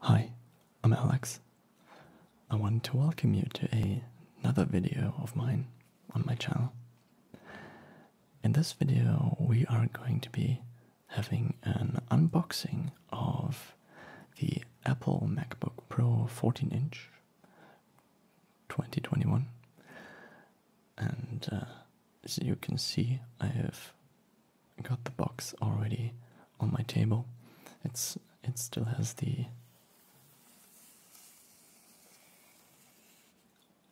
Hi, I'm Alex. I want to welcome you to another video of mine on my channel. In this video we are going to be having an unboxing of the Apple MacBook Pro 14-inch 2021 and uh, as you can see I have got the box already on my table. It's it still has the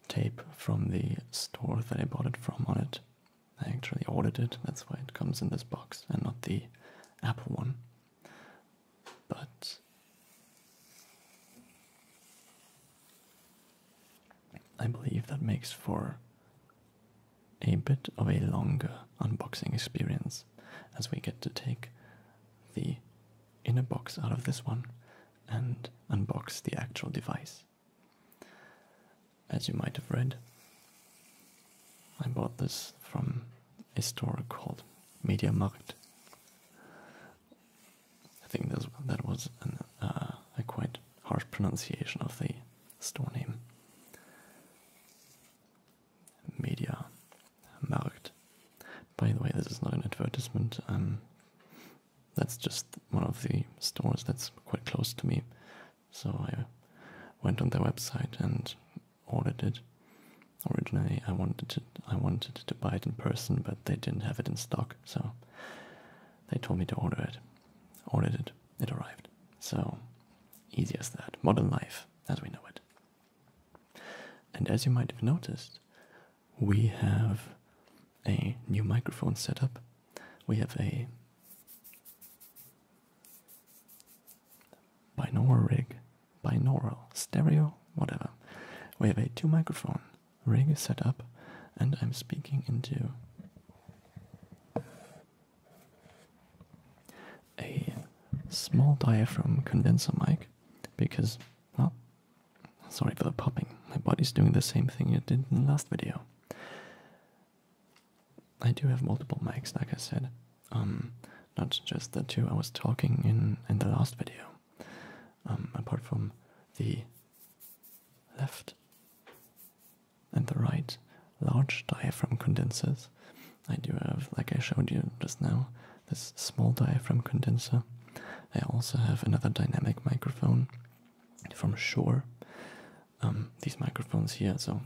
tape from the store that I bought it from on it. I actually ordered it, that's why it comes in this box and not the Apple one. But I believe that makes for a bit of a longer unboxing experience as we get to take the inner box out of this one and unbox the actual device. As you might have read, I bought this from a store called Media Markt. I think that was uh, a quite harsh pronunciation of the store name. Media Markt. By the way, this is not an advertisement. Um, that's just one of the stores that's quite close to me. So I went on their website and ordered it. Originally, I wanted to, I wanted to buy it in person, but they didn't have it in stock, so they told me to order it. Ordered it it arrived. So, easy as that. Modern life as we know it. And as you might have noticed, we have a new microphone setup. We have a binaural rig, binaural, stereo, whatever. We have a two microphone rig set up, and I'm speaking into a small diaphragm condenser mic because, well, sorry for the popping, my body's doing the same thing it did in the last video. I do have multiple mics, like I said, um, not just the two I was talking in in the last video. Um, apart from the left and the right large diaphragm condensers. I do have, like I showed you just now, this small diaphragm condenser. I also have another dynamic microphone from Shure. Um, these microphones here, so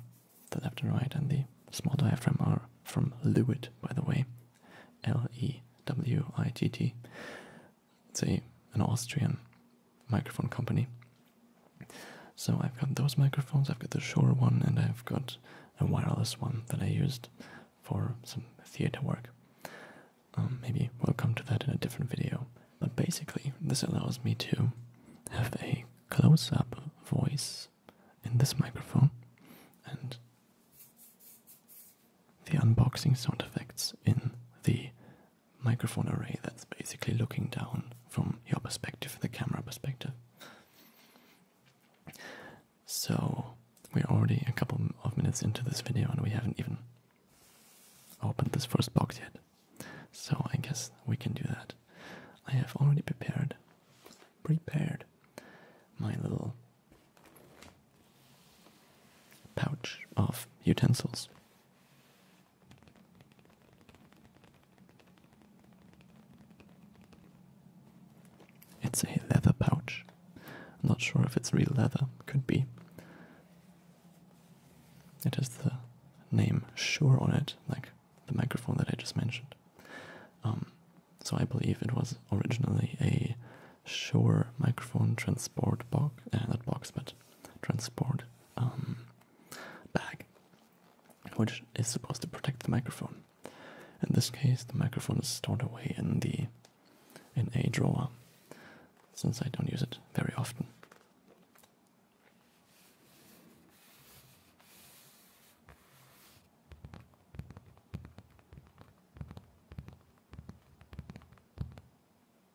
the left and right and the small diaphragm are from Lewitt, by the way. L E W I T T. Say, an Austrian microphone company. So I've got those microphones, I've got the Shure one, and I've got a wireless one that I used for some theater work. Um, maybe we'll come to that in a different video. But basically, this allows me to have a close up voice in this microphone and the unboxing sound effects in the microphone array that's basically looking down from your perspective, the camera perspective. So, we're already a couple of minutes into this video and we haven't even opened this first box yet. So, I guess we can do that. I have already prepared, prepared my little pouch of utensils. It's a leather pouch. I'm not sure if it's real leather, could be. It has the name "Sure" on it, like the microphone that I just mentioned. Um, so I believe it was originally a Sure microphone transport box, uh, box, but transport um, bag, which is supposed to protect the microphone. In this case, the microphone is stored away in the in a drawer, since I don't use it very often.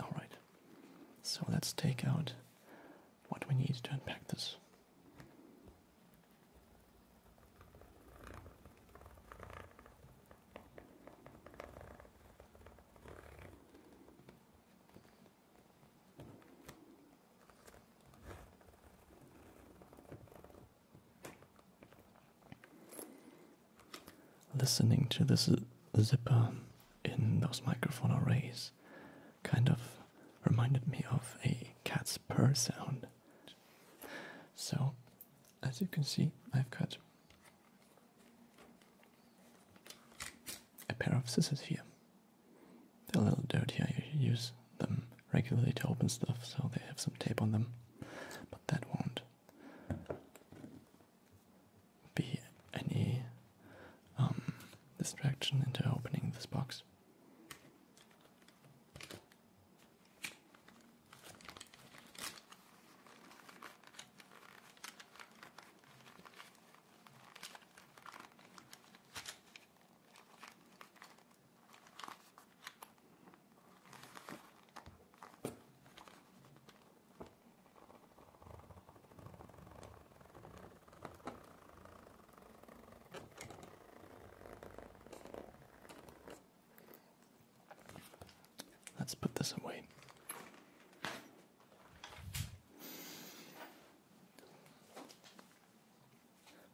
Alright, so let's take out what we need to unpack this. Listening to this zipper in those microphone arrays kind of reminded me of a cat's purr sound. So, as you can see, I've got a pair of scissors here. They're a little dirty, I use them regularly to open stuff, so they have some tape on them, but that won't be any um, distraction into opening this box. Let's put this away.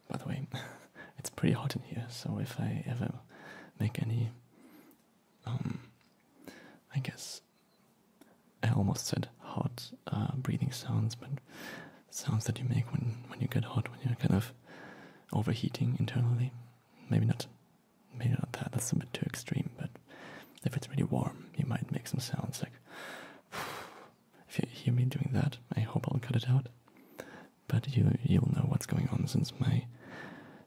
By the way, it's pretty hot in here, so if I ever make any um, I guess I almost said hot uh, breathing sounds, but sounds that you make when when you get hot, when you're kind of overheating internally. Maybe not, maybe not that. That's a bit too extreme. But if it's really warm, you might make some sounds like. If you hear me doing that, I hope I'll cut it out but you you'll know what's going on since my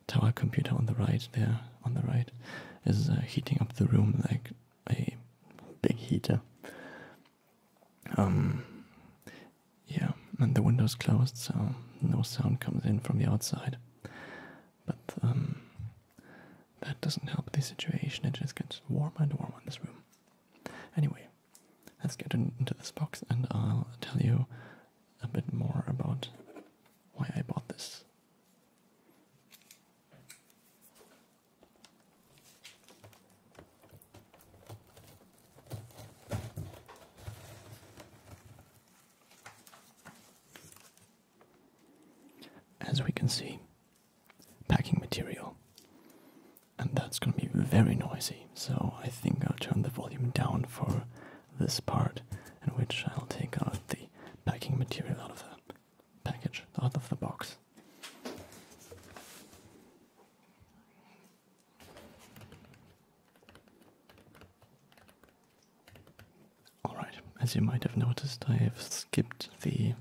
tower computer on the right there on the right is uh, heating up the room like a big heater. Um, yeah, and the window's closed, so no sound comes in from the outside. But um, that doesn't help the situation. It just gets warmer and warmer in this room. Anyway, let's get into this box and I'll tell you a bit more about why I bought this. As we can see, packing material, and that's going to be very noisy so I think I'll turn the volume down for this part, in which I'll take out the packing material out of the package, out of the box. Alright, as you might have noticed, I have skipped the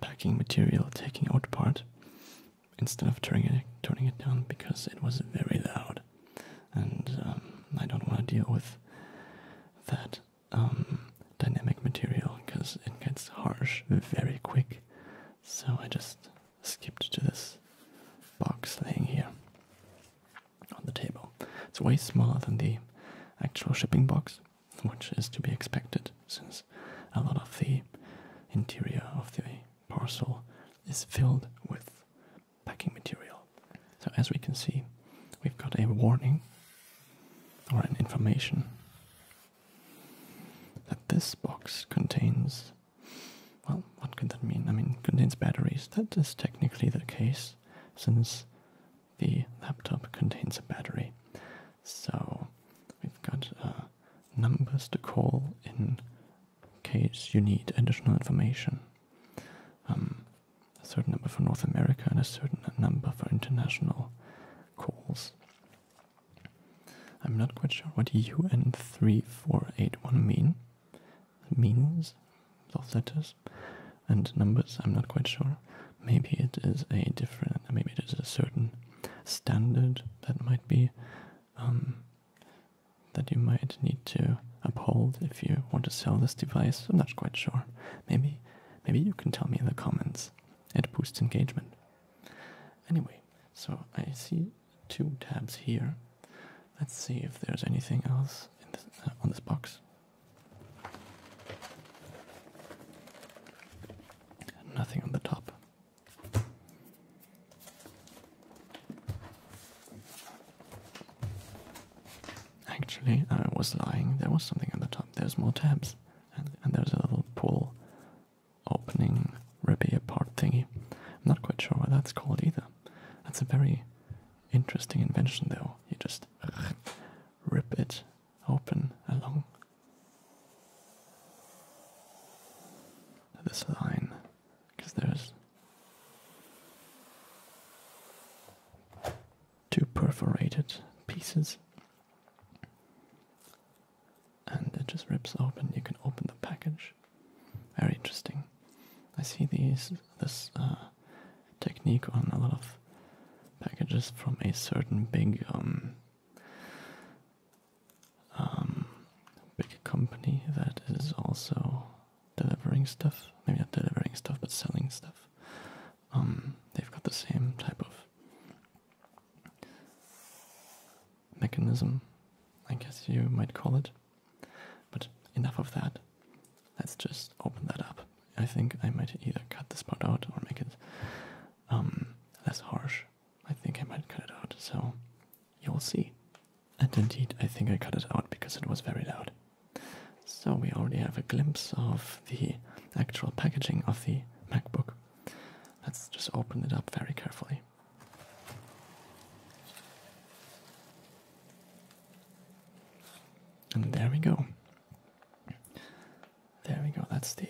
packing material taking out part instead of turning it turning it down because it was very loud, and um, I don't want to deal with that um, dynamic material because it gets harsh very quick. So I just skipped to this box laying here on the table. It's way smaller than the actual shipping box, which is to be expected since a lot of the interior of the parcel is filled with packing material. So, as we can see, we've got a warning or an information that this box contains. Well, what could that mean? I mean, contains batteries. That is technically the case since the laptop contains a battery. So, we've got uh, numbers to call in case you need additional information. Um, a certain number for North America and a certain number for international calls. I'm not quite sure what UN3481 mean. means, those letters and numbers, I'm not quite sure. Maybe it is a different, maybe it is a certain standard that might be um, that you might need to uphold if you want to sell this device. I'm not quite sure. Maybe, maybe you can tell me in the comments. It boosts engagement. Anyway, so I see two tabs here. Let's see if there's anything else in this, uh, on this box. Nothing on the top. Actually, I was lying. There was something on the top. There's more tabs. And, there's a little pull opening ribby apart thingy. I'm not quite sure what that's called either. That's a very interesting invention, though. You just rip it open along this line because there's two perforated pieces and it just rips open. You can open the package. Very interesting. I see these this uh, technique on a lot of packages from a certain big um, um, big company that is also delivering stuff. Maybe not delivering stuff, but selling stuff. Um, they've got the same type of mechanism, I guess you might call it. But enough of that. Let's just open that up. I think I might either cut this part out or make it um, less harsh. I think I might cut it out, so you'll see. And indeed, I think I cut it out because it was very loud. So we already have a glimpse of the actual packaging of the MacBook. Let's just open it up very carefully. And there we go. There we go, that's the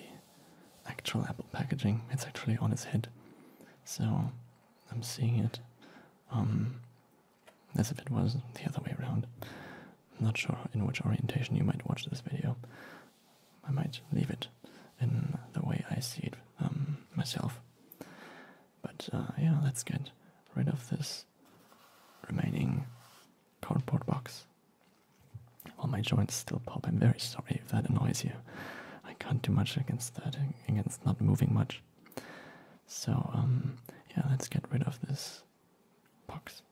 actual Apple packaging. It's actually on its head. So I'm seeing it um, as if it was the other way around. I'm not sure in which orientation you might watch this video. I might leave it in the way I see it um, myself. But uh, yeah, let's get rid of this remaining cardboard box well, my joints still pop. I'm very sorry if that annoys you. I can't do much against that, against not moving much. So, um, yeah, let's get rid of this box.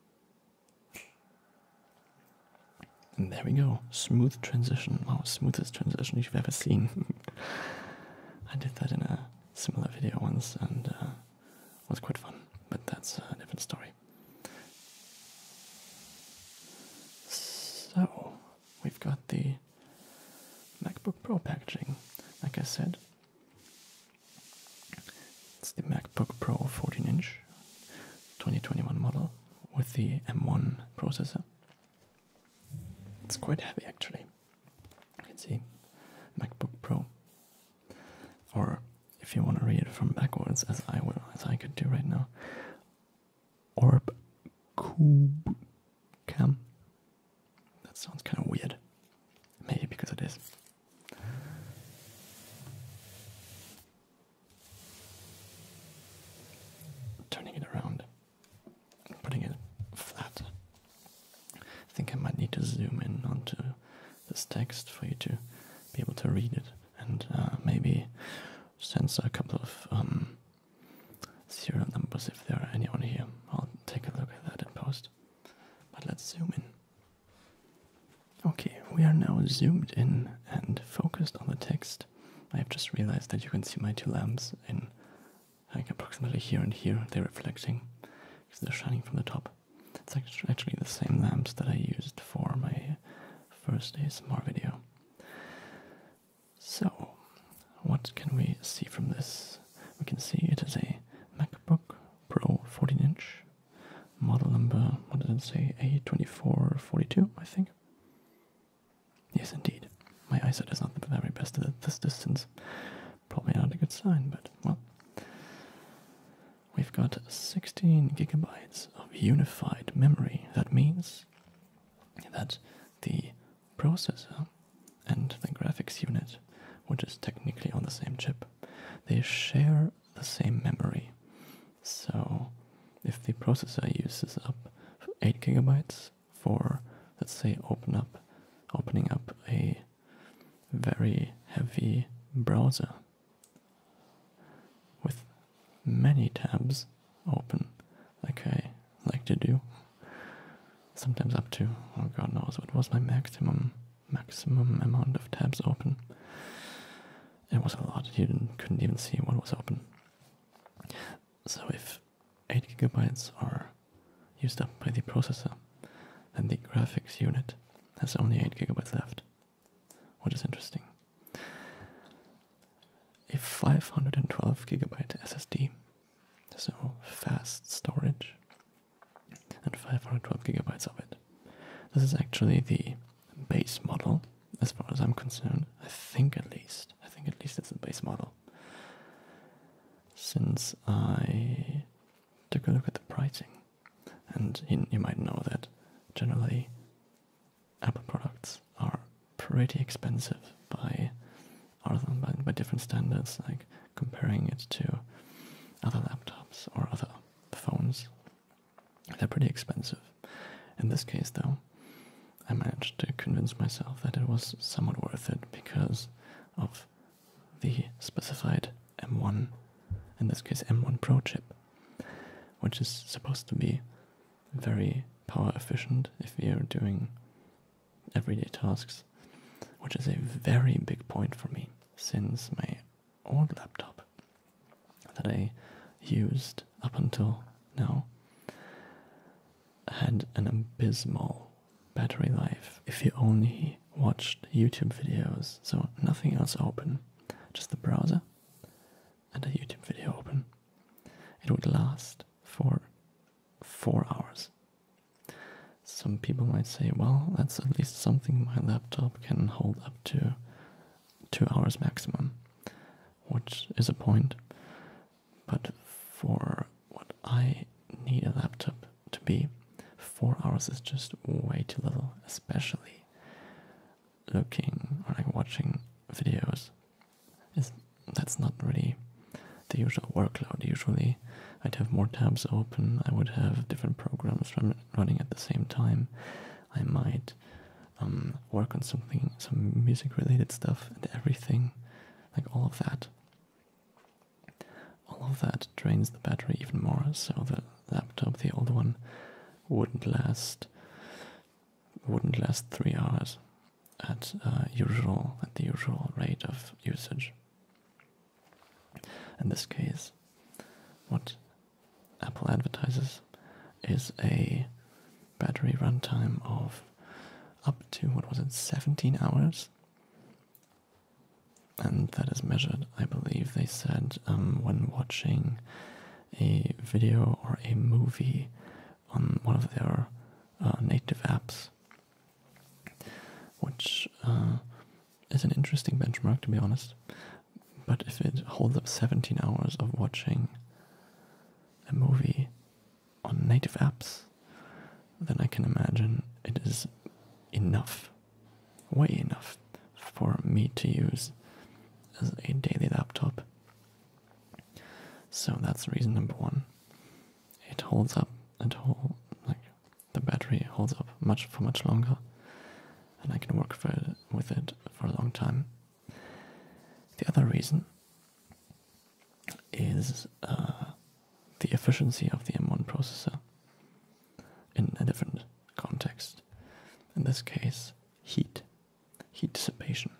And there we go. Smooth transition. Wow, smoothest transition you've ever seen. I did that in a similar video once and uh, was quite fun, but that's a different story. So, we've got the MacBook Pro packaging, like I said. It's the MacBook Pro 14 inch 2021 model with the M1 processor. It's quite heavy actually. You can see MacBook Pro. Or if you want to read it from backwards, as I will, as I could do right now, Orb Cube Cam. That sounds kind of weird. Maybe because it is. Turning it around, putting it flat. I think I might need to zoom in onto this text for you to be able to read it and uh, maybe send a couple of um, serial numbers if there are anyone here. I'll take a look at that in post. But let's zoom in. Okay, we are now zoomed in and focused on the text. I have just realized that you can see my two lamps in like approximately here and here. They're reflecting because they're shining from the top. It's actually the same lamps that I used for my first ASMR video. So, what can we see from this? We can see it is a MacBook Pro 14 inch, model number, what does it say? A2442, I think. Yes, indeed. My eyesight is not the very best at this distance. Probably not a good sign, but well. We've got 16 gigabytes of unified memory. That means that the processor and the graphics unit, which is technically on the same chip, they share the same memory. So if the processor uses up 8 gigabytes for, let's say, open up, opening up a very heavy browser with many tabs open, like I like to do. Sometimes up to oh god knows what was my maximum maximum amount of tabs open. It was a lot. You couldn't even see what was open. So if eight gigabytes are used up by the processor, then the graphics unit has only eight gigabytes left which is interesting. A 512 gigabyte SSD, so fast storage, and 512 gigabytes of it. This is actually the base model, as far as I'm concerned. I think at least. I think at least it's the base model. Since I took a look at the pricing, and you, might know that generally Apple products are pretty expensive by other than by, by different standards, like comparing it to other laptops or other phones. They're pretty expensive. In this case, though, I managed to convince myself that it was somewhat worth it because of the specified M1, in this case M1 Pro chip, which is supposed to be very power efficient if we are doing everyday tasks, which is a very big point for me since my old laptop that I used up until now had an abysmal battery life if you only watched YouTube videos, so nothing else open, just the browser and a YouTube video open, it would last for four hours. Some people might say, well, that's at least something my laptop can hold up to two hours maximum, which is a point. But for what I need a laptop to be, four hours is just way too little, especially looking or like watching videos is that's not really the usual workload. Usually, I'd have more tabs open. I would have different programs run, running at the same time. I might um, work on something, some music-related stuff, and everything, like all of that. All of that drains the battery even more. So the laptop, the old one, wouldn't last wouldn't last three hours at uh, usual at the usual rate of usage. In this case, what Apple advertises is a battery runtime of up to what was it, 17 hours, and that is measured. I believe they said um, when watching a video or a movie on one of their uh, native apps, which uh, is an interesting benchmark to be honest. But if it holds up 17 hours of watching a movie on native apps, then I can imagine it is enough, way enough for me to use as a daily laptop. So that's reason number one. It holds up, it hold, like the battery holds up much for much longer, and I can work with it for a long time. The other reason is uh, the efficiency of the M1 processor in a different context. In this case, heat, heat dissipation.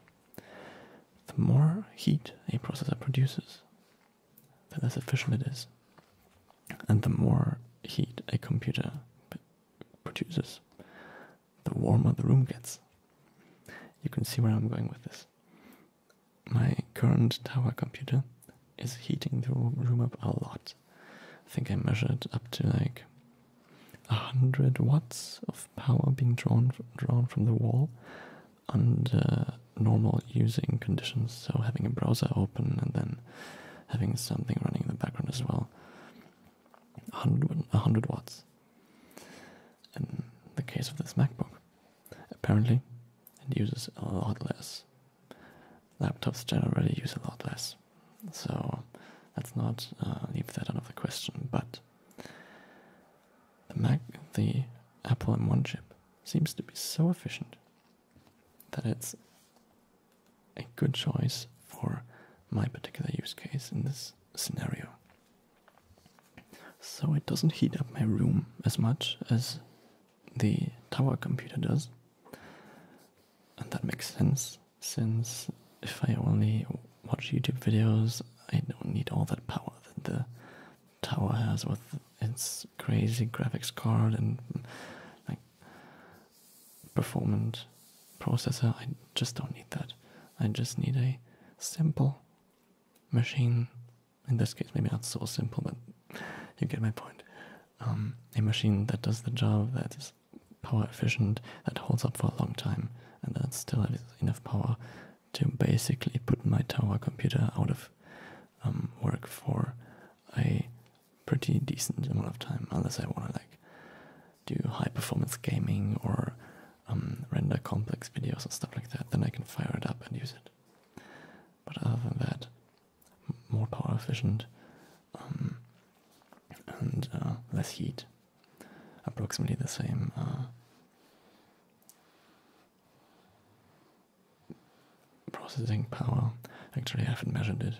The more heat a processor produces, the less efficient it is. And the more heat a computer produces, the warmer the room gets. You can see where I'm going with this. My current tower computer is heating the room up a lot. I think I measured up to like a hundred watts of power being drawn drawn from the wall under normal using conditions. So having a browser open and then having something running in the background as well. 100, 100 watts. In the case of this MacBook, apparently it uses a lot less laptops generally use a lot less. So let's not uh, leave that out of the question. But the Mac, the Apple M1 chip, seems to be so efficient that it's a good choice for my particular use case in this scenario. So it doesn't heat up my room as much as the tower computer does and that makes sense since if I only watch YouTube videos, I don't need all that power that the tower has with its crazy graphics card and like performance processor. I just don't need that. I just need a simple machine. In this case, maybe not so simple, but you get my point. Um, a machine that does the job that is power efficient, that holds up for a long time, and that still has enough power to basically put my tower computer out of um, work for a pretty decent amount of time, unless I want to like do high performance gaming or um, render complex videos and stuff like that. Then I can fire it up and use it. But other than that, more power efficient. Um, and uh, less heat. Approximately the same uh, processing power. Actually, I haven't measured it,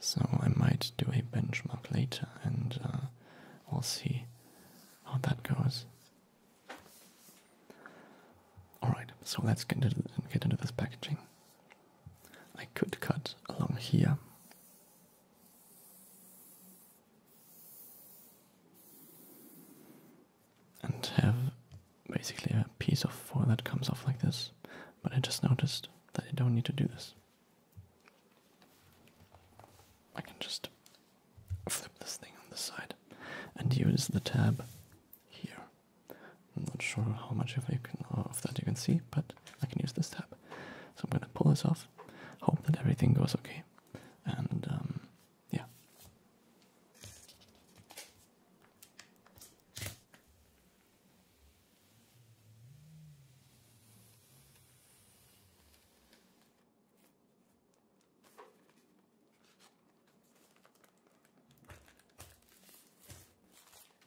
so I might do a benchmark later and uh, we'll see how that goes. Alright, so let's get into, get into this packaging. I could cut along here. And have basically a piece of foil that comes off like this, but I just noticed that I don't need to do this. I can just flip this thing on the side and use the tab here I'm not sure how much uh, of, that you can see, but I can use this tab. So I'm gonna pull this off, hope that everything goes okay, and um, yeah.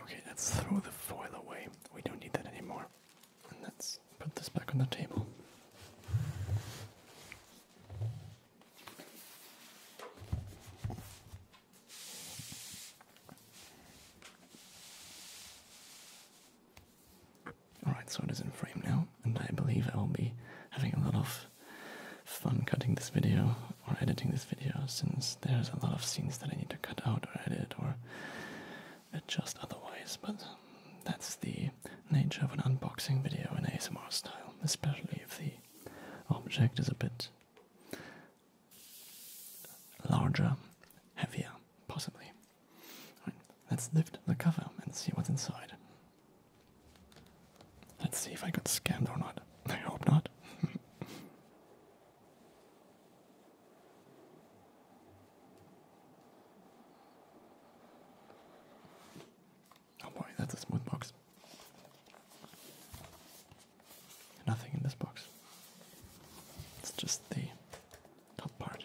Okay, let's throw the foil away. We don't need that anymore. And let's put this back on the table. Alright, so it is in frame now, and I believe I will be having a lot of fun cutting this video or editing this video since there's a lot of scenes that I need to cut out or edit or adjust otherwise, but that's the nature of an unboxing video in ASMR style, especially if the object is a bit larger, heavier, possibly. let's lift the cover and see what's inside. Let's see if I got scammed or not. I hope not. oh boy, that's a smooth box. Nothing in this box. It's just the top part.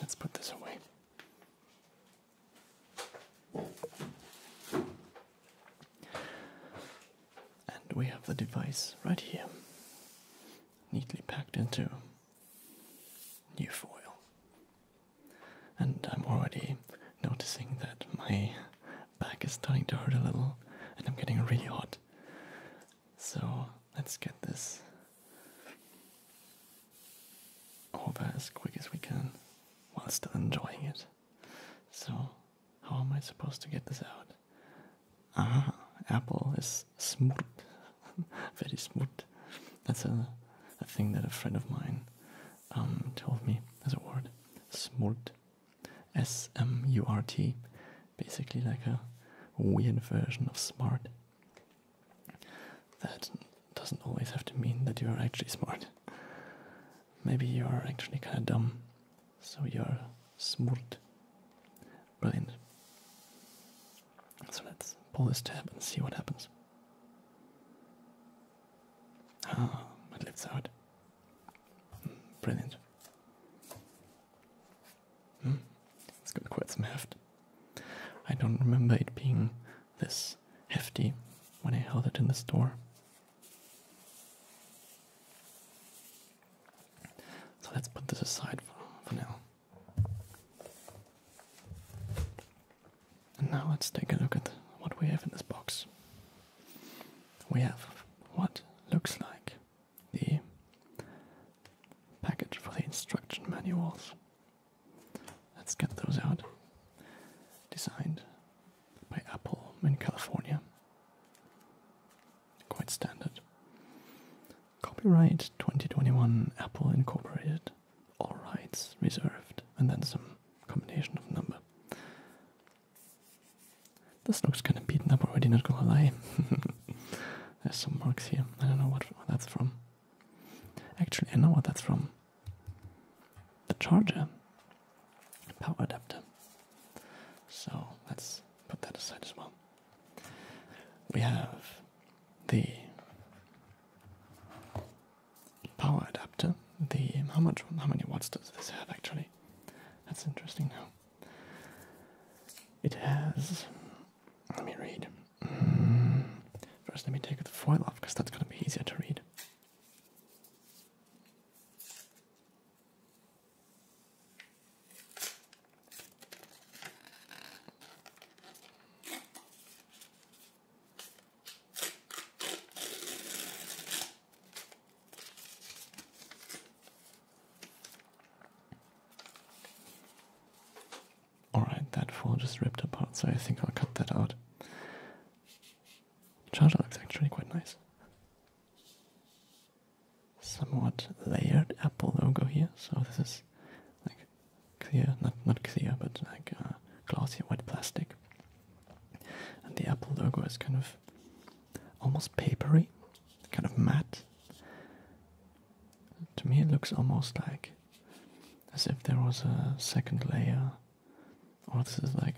Let's put this away. And we have the device right here, neatly packed into new foil. And I'm already noticing that my back is starting to hurt a little and I'm getting really hot. So let's get this over as quick as we can while still enjoying it. So, how am I supposed to get this out? Ah, apple is smurt, very smooth. That's a, thing that a friend of mine um, told me as a word. Smurt. S M U R T basically like a weird version of smart that doesn't always have to mean that you are actually smart. Maybe you are actually kind of dumb, so you are smart. Brilliant. So let's pull this tab and see what happens. Ah, it lives out. Hmm, brilliant. Hmm? It's got quite some heft. I don't remember it being this hefty when I held it in the store. So let's put this aside for now. And now let's take a look at what we have in this box. We have what looks like the package for the instruction manuals. Let's get those out. Designed by Apple in California. Quite standard. Copyright 2021 Apple Incorporated. All rights reserved. And then some combination of number. This looks kind of beaten up already, not gonna lie. There's some marks here. I don't know what that's from. Actually, I know what that's from. The charger. Power adapter. So let's put that aside as well. We have the power adapter. The how much how many watts does this have actually? That's interesting now. It has. Let me read. Mm, first, let me take the foil off because that's going to be easier to read. Alright, that fall just ripped apart, so I think I'll cut that out. Charger looks actually quite nice. Somewhat layered Apple logo here, so this is like clear, not not clear, but like uh, glossy white plastic. And the Apple logo is kind of almost papery, kind of matte. To me, it looks almost like as if there was a second layer, or this is like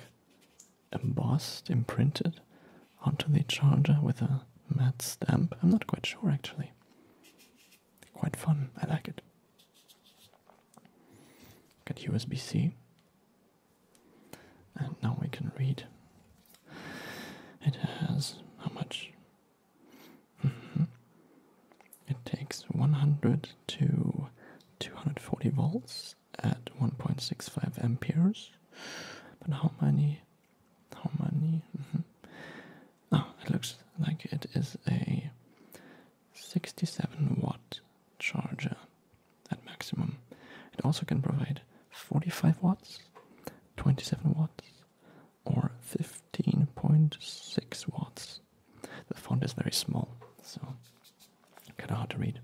embossed, imprinted onto the charger with a matte stamp. I'm not quite sure actually. Quite fun, I like it. Got USB C, and now we can read it has how much? Mm-hmm. It takes 100 to 240 volts at 1.65 amperes. But how many? How many? Mm it looks like it is a 67 watt charger at maximum. It also can provide 45 watts, 27 watts, or 15.6 watts. The font is very small, so kind of hard to read.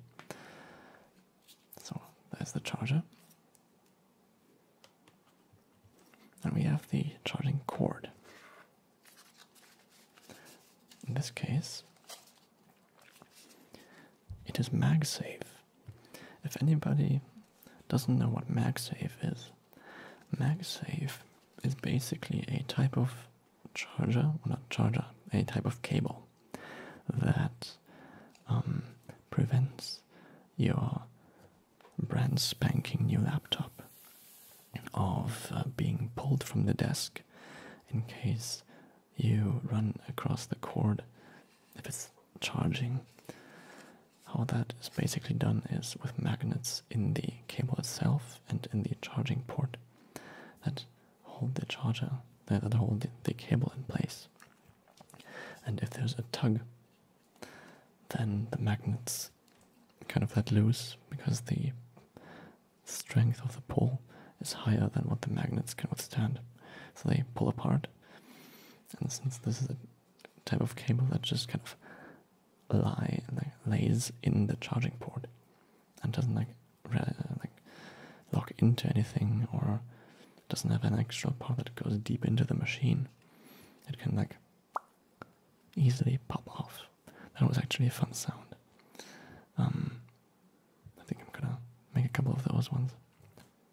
So there's the charger. And we have the charging cord. In this case, it is MagSafe. If anybody doesn't know what MagSafe is, MagSafe is basically a type of charger, or not charger, a type of cable that um, prevents your brand spanking new laptop of uh, being pulled from the desk in case you run across the cord if it's charging. How that is basically done is with magnets in the cable itself and in the charging port that hold the charger, that hold the, cable in place. And if there's a tug, then the magnets kind of let loose because the strength of the pull is higher than what the magnets can withstand. So they pull apart and since this is a type of cable that just kind of lie lays in the charging port and doesn't like lock into anything or doesn't have an extra part that goes deep into the machine, it can like easily pop off. That was actually a fun sound. Um, I think I'm gonna make a couple of those ones.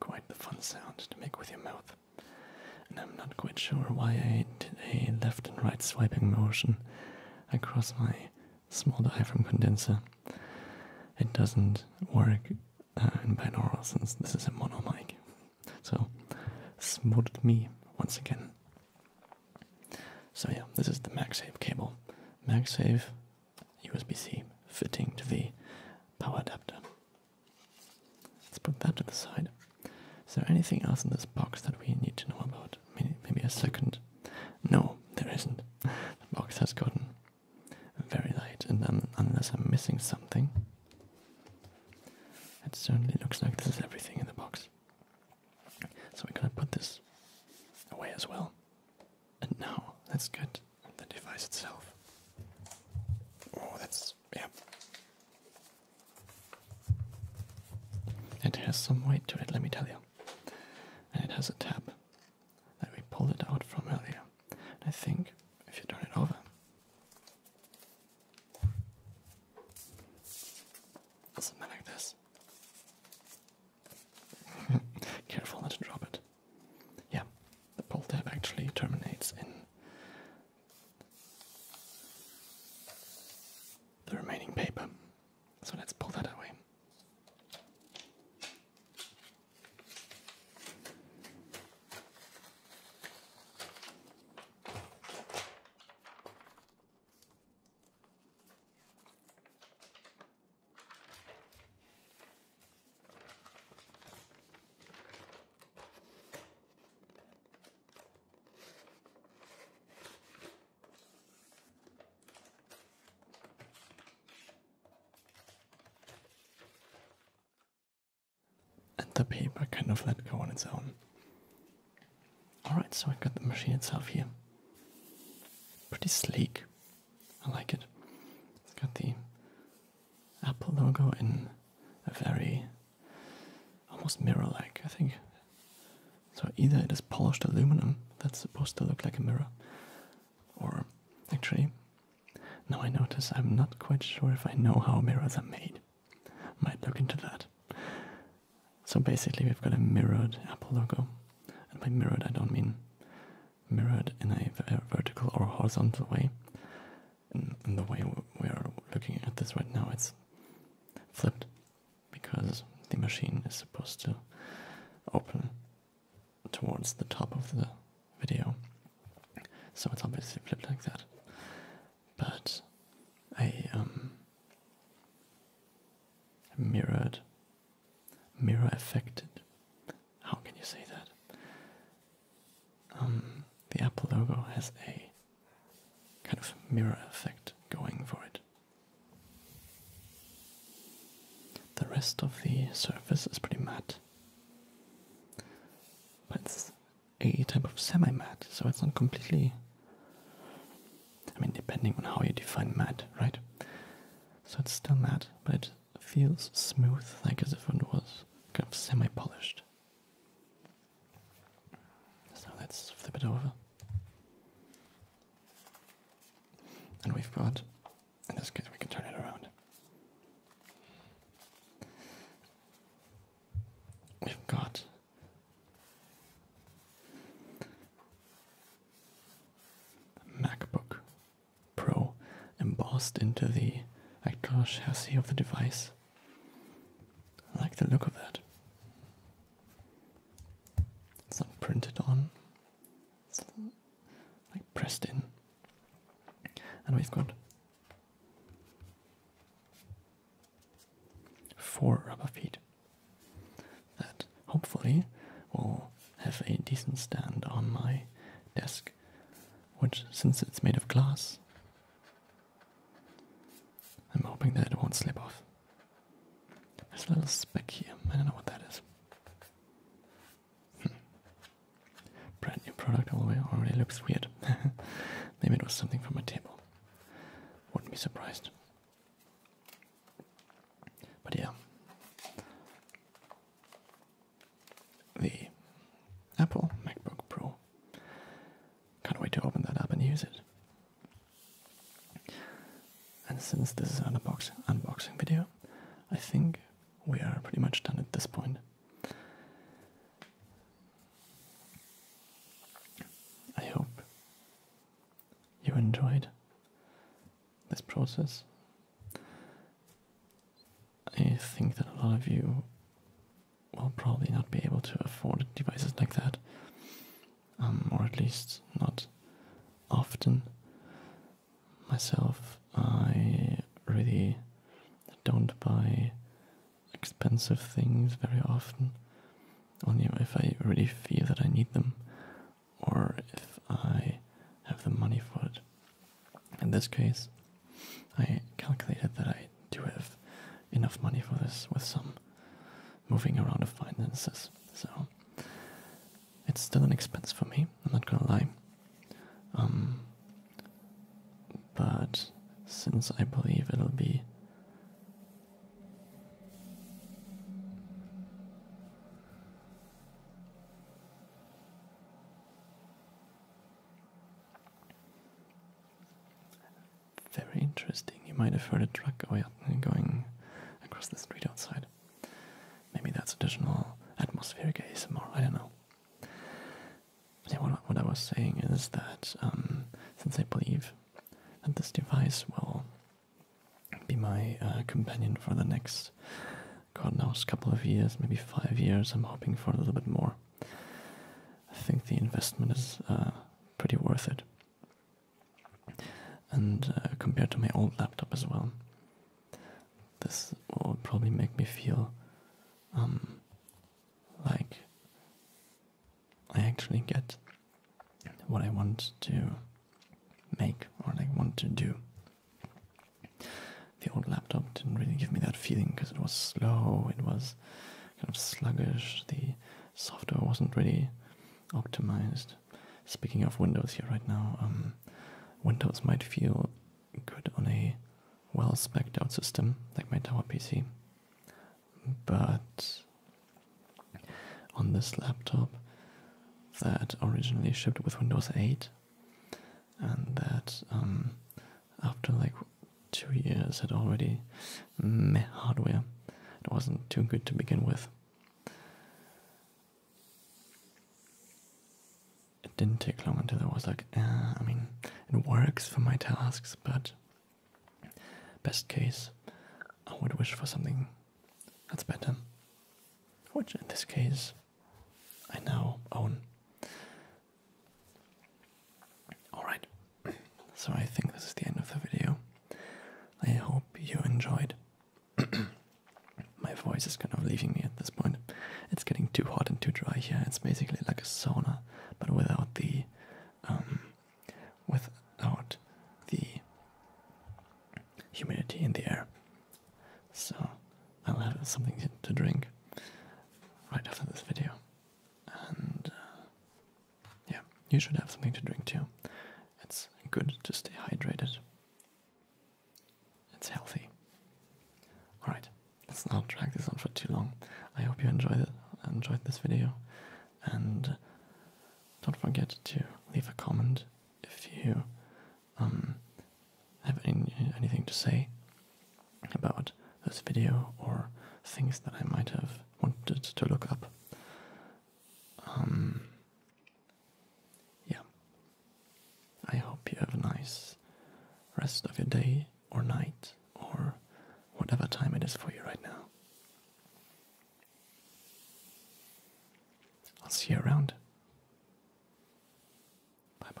Quite the fun sound to make with your mouth. And I'm not quite sure why I did a left and right swiping motion across my small diaphragm condenser. It doesn't work uh, in binaural since this is a mono mic. So, smoothed me once again. So, yeah, this is the Max Save cable. Max Save. USB-C fitting to the power adapter. Let's put that to the side. Is there anything else in this box that we need to know about? Maybe a second? No, there isn't. The box has gotten very light, and unless I'm missing something, it certainly looks like there's everything in the box. So we're gonna put this away as well. And now let the device itself. Oh, that's. yeah. It has some weight to it, let me tell you. And it has a tab that we pulled it out from earlier. I think if you turn it over, something like this. Careful not to drop it. Yeah, the pull tab actually terminates in the remaining paper. So let's pull that away. And the paper kind of let go on its own. Alright, so I got the machine itself here. Pretty sleek, I like it. It's got the Apple logo in a very almost mirror like, I think. So either it is polished aluminum that's supposed to look like a mirror, or actually, now I notice I'm not quite sure if I know how mirrors are made. Might look into that. So basically, we've got a mirrored Apple logo, and by mirrored, I don't mean mirrored in a vertical or horizontal way. And, the way we are looking at this right now, it's flipped because the machine is supposed to open towards the top of the video. So it's obviously flipped like that. But I um, mirrored mirror affected. How can you say that? Um, the Apple logo has a kind of mirror effect going for it. The rest of the surface is pretty matte, but it's a type of semi matte, so it's not completely. I mean, depending on how you define matte, right? So it's still matte, but it feels smooth, like as if it was kind of semi-polished. So let's flip it over. And we've got, in this case we can turn it around. We've got MacBook Pro embossed into the actual chassis of the device. I like the look of that. It's not printed on, it's like pressed in. And we've got four rubber feet that hopefully will have a decent stand on my desk, which, since it's made of glass, I'm hoping that it won't slip off. There's a little speck here. I don't know what that is. Hmm. Brand new product already looks weird. Maybe it was something from my table. Wouldn't be surprised. But yeah, the Apple MacBook Pro. Can't wait to open that up and use it. And since this is an unboxing video, I think we are pretty much done at this point. I hope you enjoyed this process. I think that a lot of you will probably not be able to afford devices like that, um, or at least not often. Myself, I really don't buy expensive things very often, only if I really feel that I need them or if I have the money for it. In this case, I calculated that I do have enough money for this with some moving around of finances. So it's still an expense for me, I'm not gonna lie. Um, but since I believe it'll be very interesting. You might have heard a truck going across the street outside. Maybe that's additional atmospheric ASMR, I don't know. what, I was saying is that um, since I believe that this device will be my uh, companion for the next, God knows, couple of years, maybe five years. I'm hoping for a little bit more. I think the investment is uh, pretty worth it, and uh, compared to my old laptop as well, this will probably make me feel um, like I actually get what I want to make or like want to do. The old laptop didn't really give me that feeling because it was slow, it was kind of sluggish, the software wasn't really optimized. Speaking of Windows here right now, um, Windows might feel good on a well spec out system like my Tower PC, but on this laptop that originally shipped with Windows 8 and that um, after like two years had already meh hardware. It wasn't too good to begin with. It didn't take long until I was like, ah, I mean, it works for my tasks, but best case, I would wish for something that's better. Which in this case I now own. Alright, so I think this is the end of the video. I hope you enjoyed. My voice is kind of leaving me at this point. It's getting too hot and too dry here. It's basically like a sauna, but without the um without the humidity in the air. So I'll have something to drink right after this video. And uh, yeah, you should have something to drink too. It's good to stay hydrated, it's healthy. Alright, let's not drag this on for too long. I hope you enjoyed enjoyed this video, and uh, don't forget to leave a comment if you um, have any, anything to say about this video or things that I might have wanted to look up. Um, yeah. I hope you have a nice rest of your day or night or whatever time it is for you right now. I'll see you around. Bye bye.